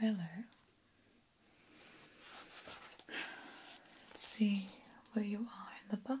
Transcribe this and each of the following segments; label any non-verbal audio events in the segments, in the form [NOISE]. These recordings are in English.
Willow. Let's see where you are in the book.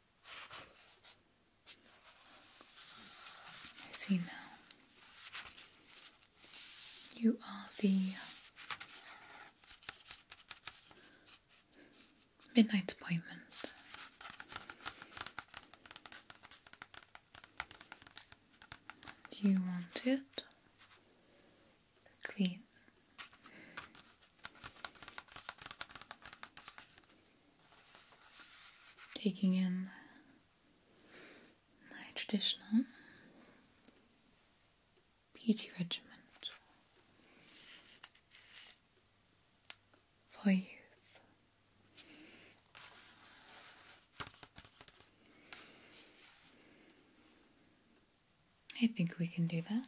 I see now. You are the midnight appointment. Do you want it clean? Taking in my traditional beauty regiment for youth. I think we can do that.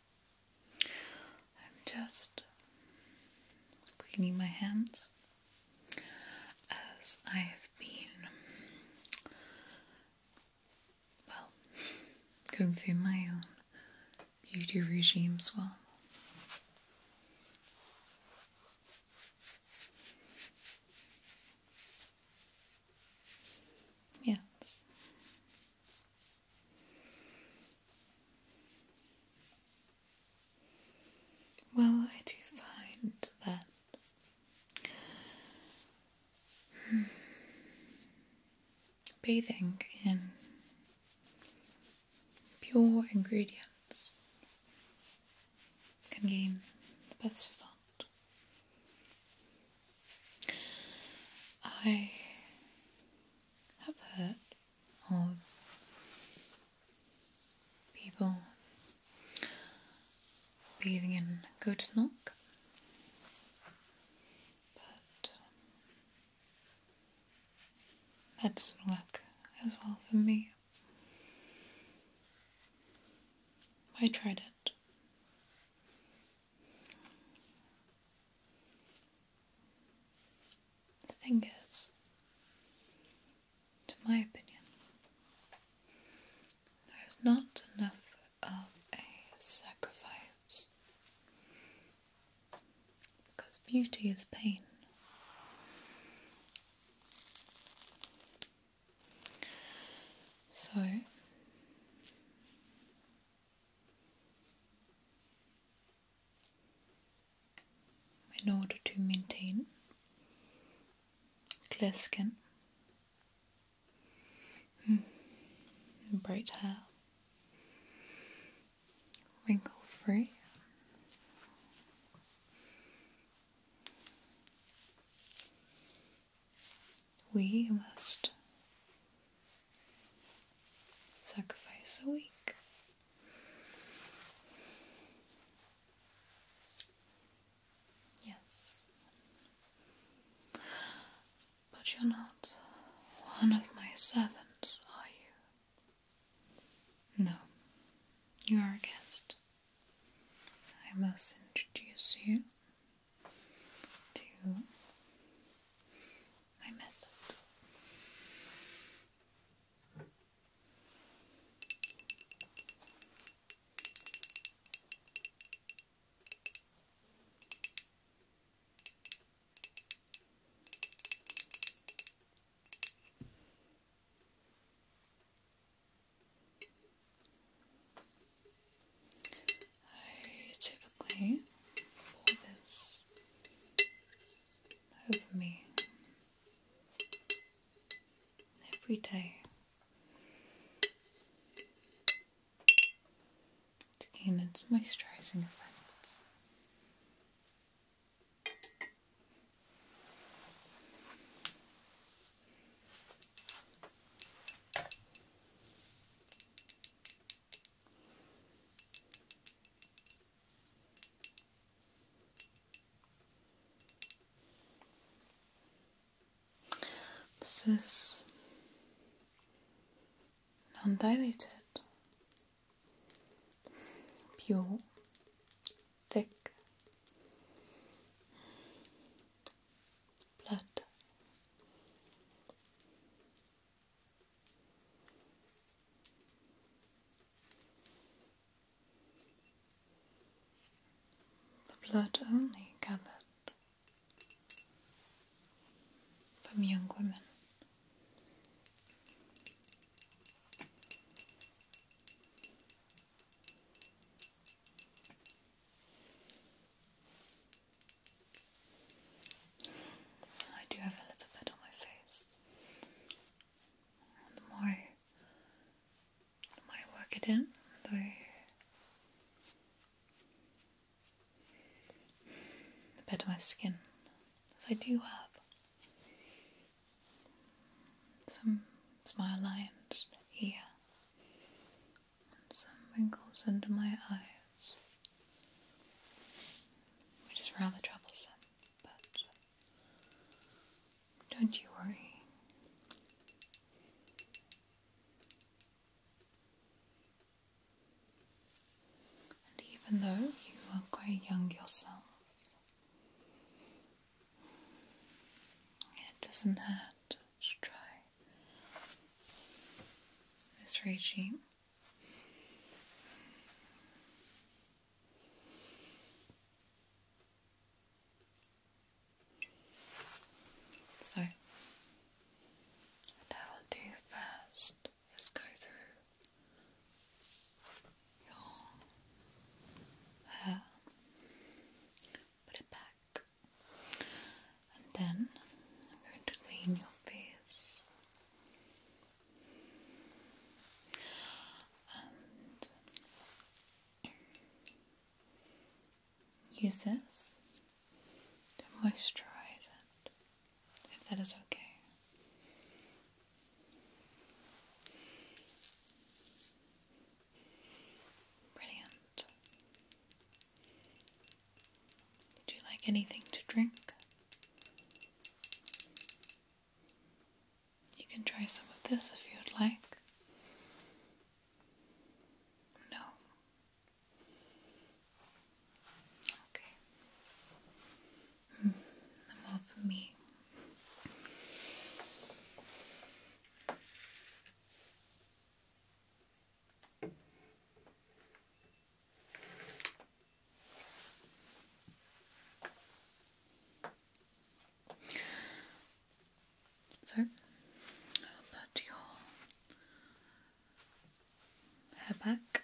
I'm just cleaning my hands as I have been, well, going through my own beauty regime as well. Yes, well, I do find that hmm, bathing in pure ingredients can gain the best result. I have heard of people bathing in goat's milk, but um, that doesn't work as well for me. I tried it. The fingers, to my opinion. There is not enough of a sacrifice because beauty is pain. So, in order to maintain clear skin, hmm. bright hair, wrinkle free. We must Sacrifice a week. Yes. But you're not one of my servants, are you? No, you are a guest. I must introduce you to my method. I typically pour this over me every day to its moisturising effects. This is undiluted, pure, thick blood. The blood only gathered from young women. I do have a little bit on my face. And the more, I work it in, the the better my skin. So I do have some smile lines here, and some wrinkles under my eyes, which is rather troublesome don't you worry. And even though you are quite young yourself, it doesn't hurt to try this regime. So, what I'll do first is go through your hair, put it back, and then I'm going to clean your face use this to moisturize it, if that is okay. Brilliant. Would you like anything to drink? You can try some of this if you'd like. No. Okay. all hmm, for me. So, put your hair back.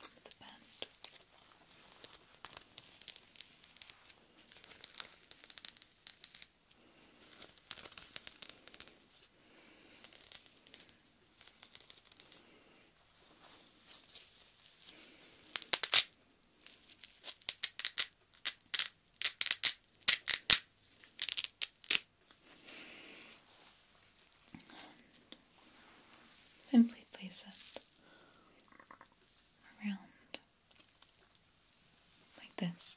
The band. Simply place it around like this.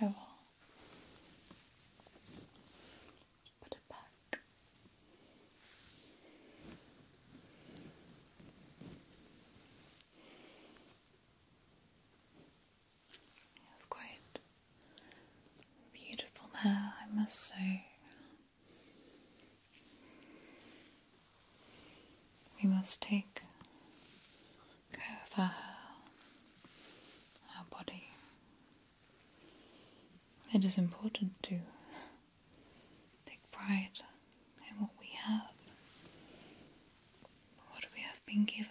Good. Okay. I will quite beautiful now I must say. We must take over our body. It is important to take pride in what we have, what we have been given.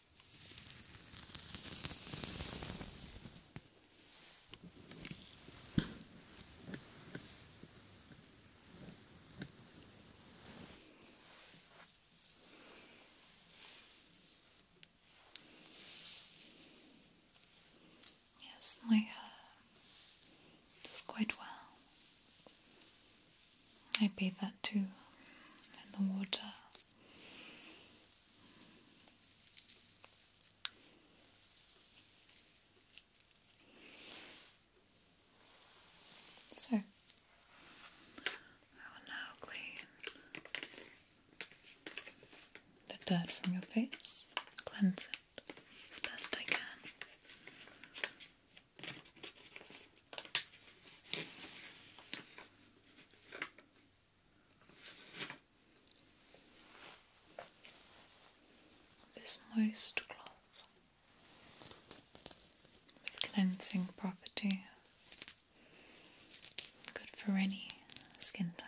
Yes, my hair uh, does quite well. I bathe that too in the water. So I will now clean the dirt from your face, cleanse it as best I can. This moist cloth with cleansing properties, good for any skin type.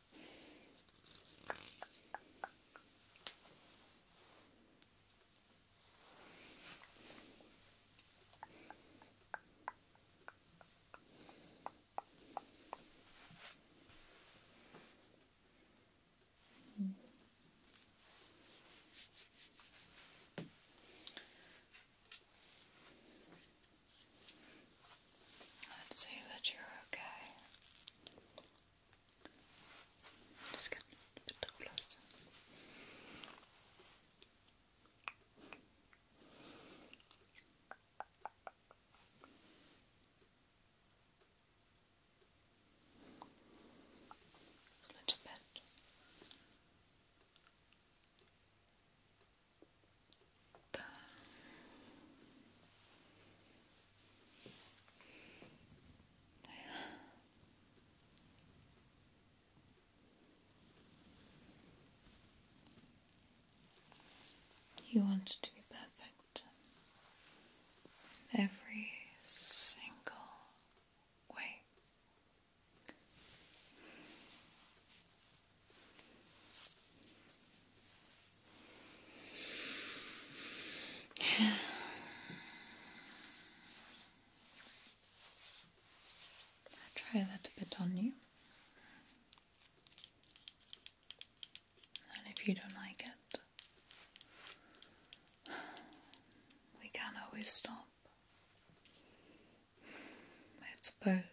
Mm I'd say that you're okay. Just get a bit closer. A little bit. There. You want to be perfect in every single way. I'll try that a bit on you. And if you don't like it, we can always stop. I suppose.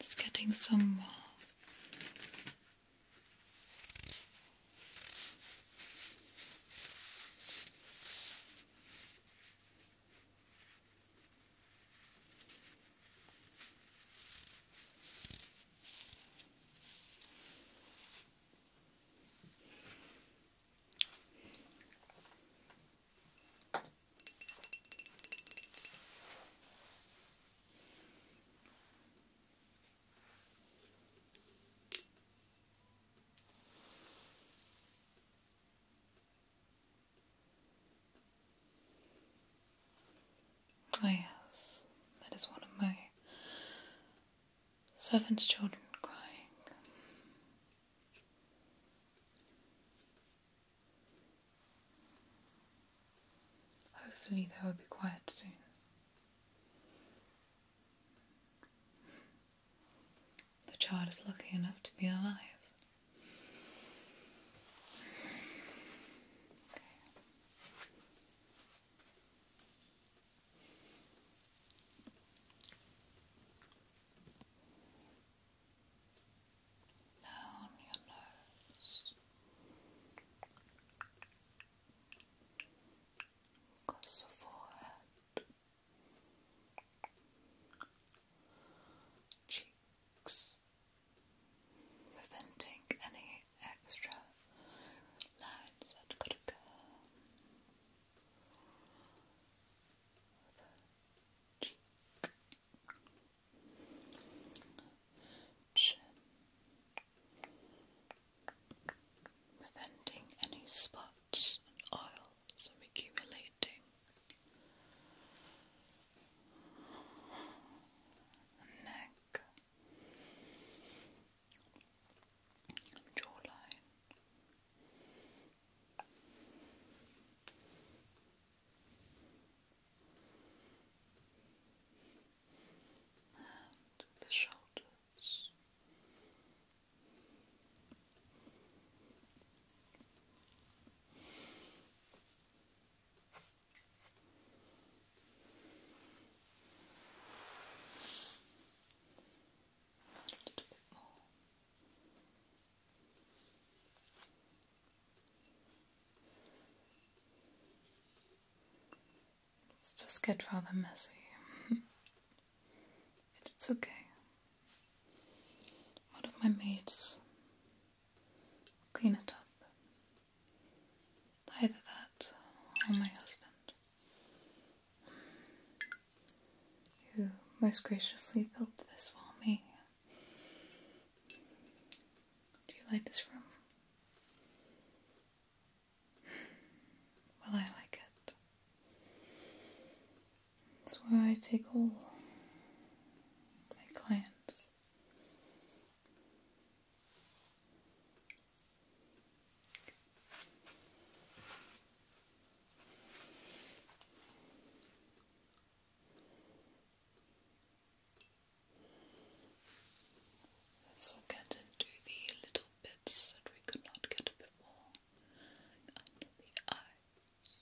It's getting some more. Oh, yes, that is one of my servants' children crying. Hopefully, they will be quiet soon. The child is lucky enough to be alive down your nose across the forehead, cheeks, preventing any extra lines that could occur preventing any spots and oils from accumulating. Neck, jawline, and the shoulders. A little bit more. It's just get rather messy. [LAUGHS] but it's okay. One of my maids clean it up. Either that or my husband. You most graciously built this for me. Do you like this room? Well, I like it. That's where I take all my clients. Let's get into the little bits that we could not get a under the eyes.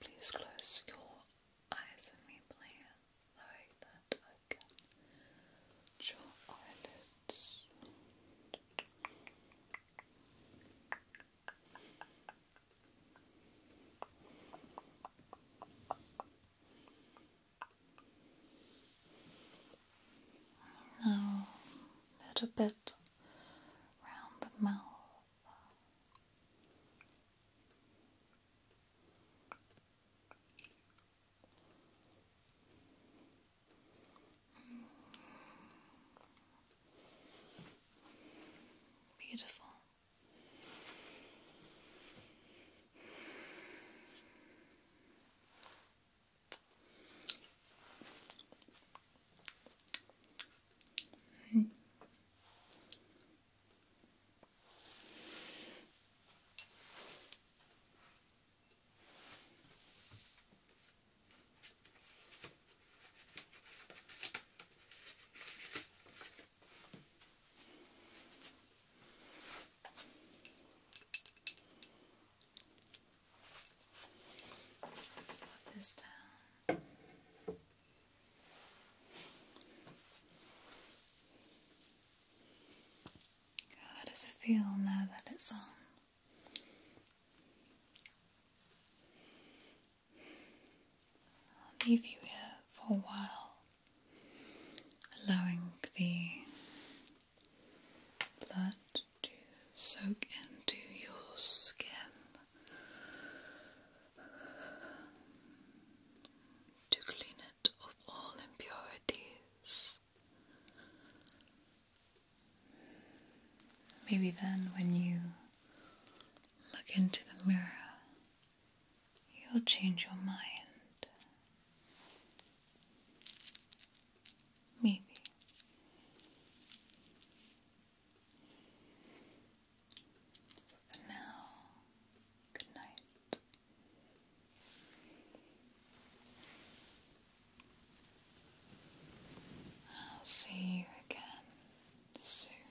Please close your eyes with me, please so that I can eyelids. Now, a little bit round the mouth. Beautiful. Mm. Let's put this down. How does it feel now that it's on? I'll leave you here for a while, allowing the blood to soak into your skin to clean it of all impurities. Maybe then, when you look into the mirror, you'll change your mind. Maybe. For Good night. see you again soon.